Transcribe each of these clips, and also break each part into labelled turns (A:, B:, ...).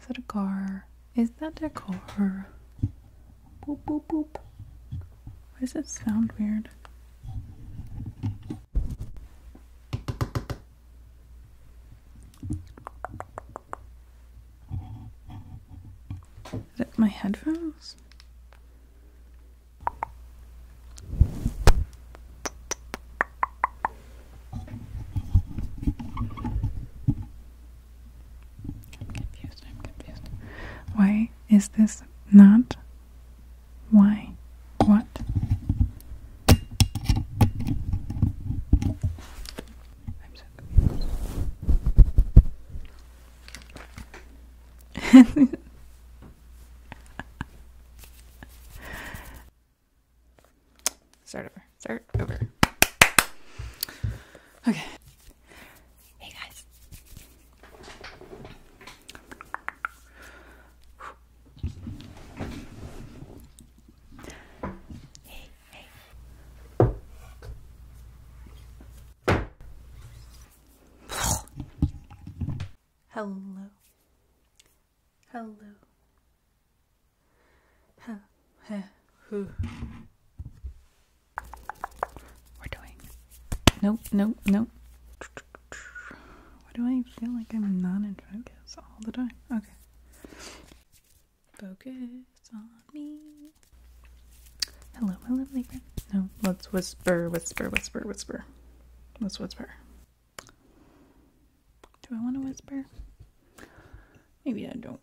A: Is that a car? Is that a car? Boop boop boop. Why does it sound weird? Is it my headphones? Why is this not? Why? What? I'm so confused. Start over. Start over. Okay. Hey guys. Hey, Hello. Hello. Huh. Huh. Who? We're doing. Nope, nope, nope. Why do I feel like I'm not in focus all the time? Okay. Focus on me. Hello, my lovely friend. No, let's whisper, whisper, whisper, whisper. Let's whisper. Do I want to whisper? Maybe I don't.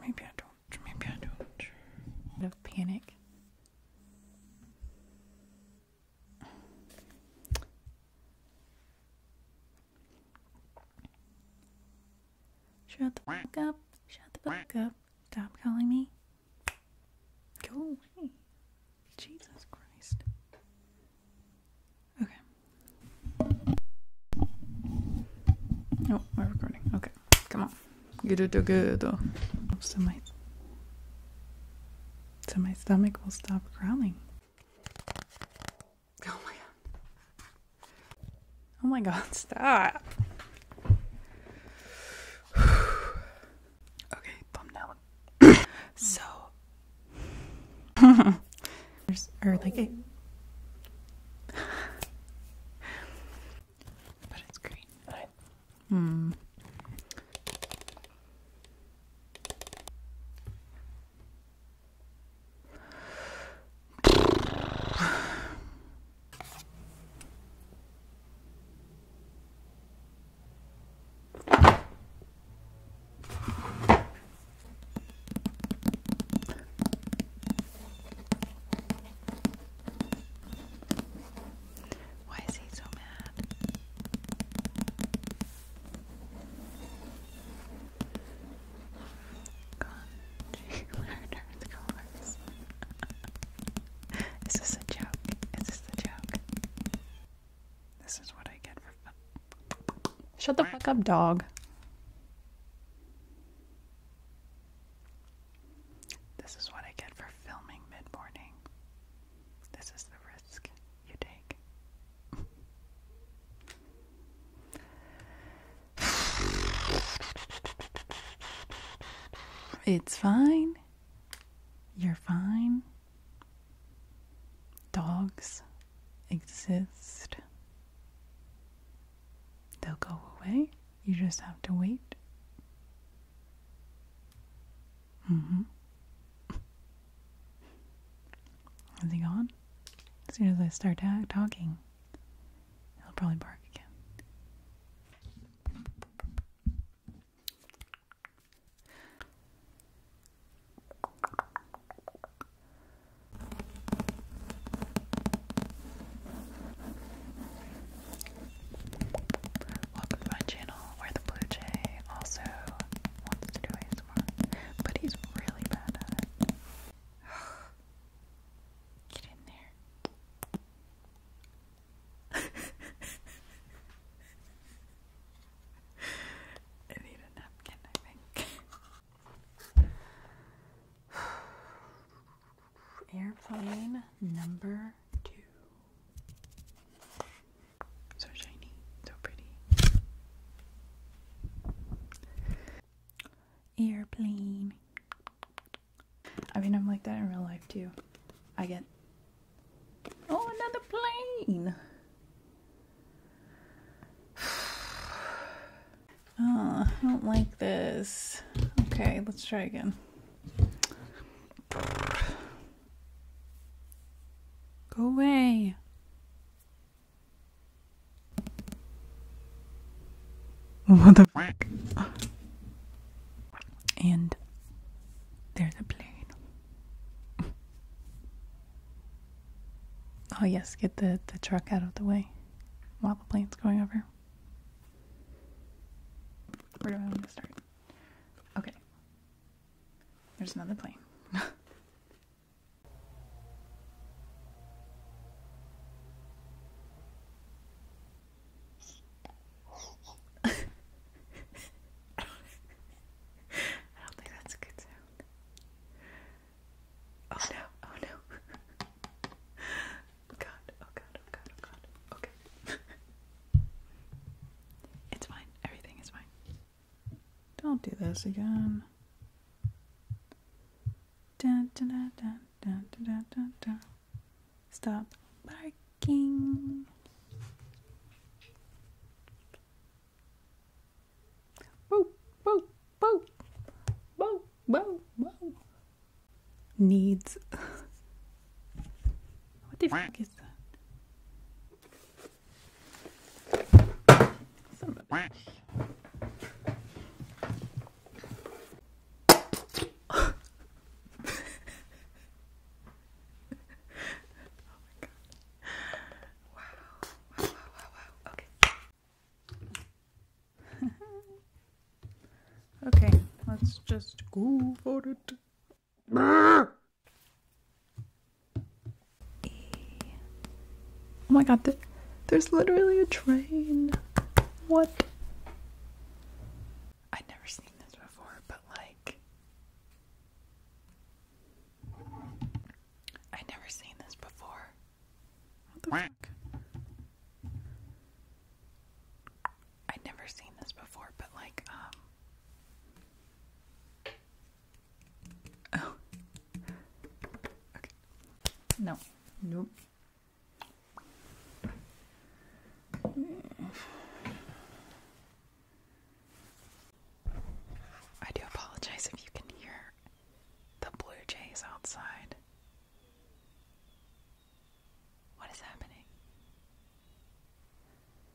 A: Maybe I don't. Maybe I don't. Out of panic. Shut the fuck up. Shut the fuck up. Stop calling me. Go away. Jesus Christ. Okay. Oh, we're recording. Okay. Come on. Get it together. So my So my stomach will stop growling. Oh my god. Oh my god, stop. Okay, thumbnail. so, or like it. but it's green. Hmm. Why is he so mad? Congealer, the colors. Is this a joke? Is this the joke? This is what I get for Shut the fuck up, dog. This is what I get for filming mid morning. This is the risk you take. It's fine. You're fine. Dogs exist. They'll go away. You just have to wait. hmm Is he gone? As soon as I start talking, he'll probably bark again. Welcome to my channel where the blue also wants to do ASMR, but he's really bad at it. Get in there. I need a napkin, I think. Airplane number two. So shiny, so pretty. Airplane. I mean, I'm like that in real life too. I get. Oh, another plane! oh, I don't like this. Okay, let's try again. Go away. What the And there's a plane. oh yes, get the, the truck out of the way while the plane's going over. Where do I want to start? Okay. There's another plane. I don't think that's a good sound. Oh no, oh no. Oh, god, oh god, oh god, oh god. Okay. it's fine. Everything is fine. Don't do this again. Dun, dun, dun, Stop barking. Woo, woo, woo. Woo, woo, woo. Needs. what the fuck is that? Some of it. oh my god. Wow. Wow, wow, wow, wow. Okay. okay, let's just go for it. Oh my god, there's literally a train. What? I'd never seen this before, but like. I'd never seen this before. What the I'd never seen this before, but like, um. Oh. No. No. I do apologize if you can hear the blue jays outside. What is happening?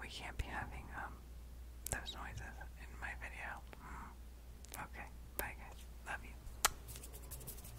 A: We can't be having um those noises in my video. Mm. Okay, bye guys. Love you.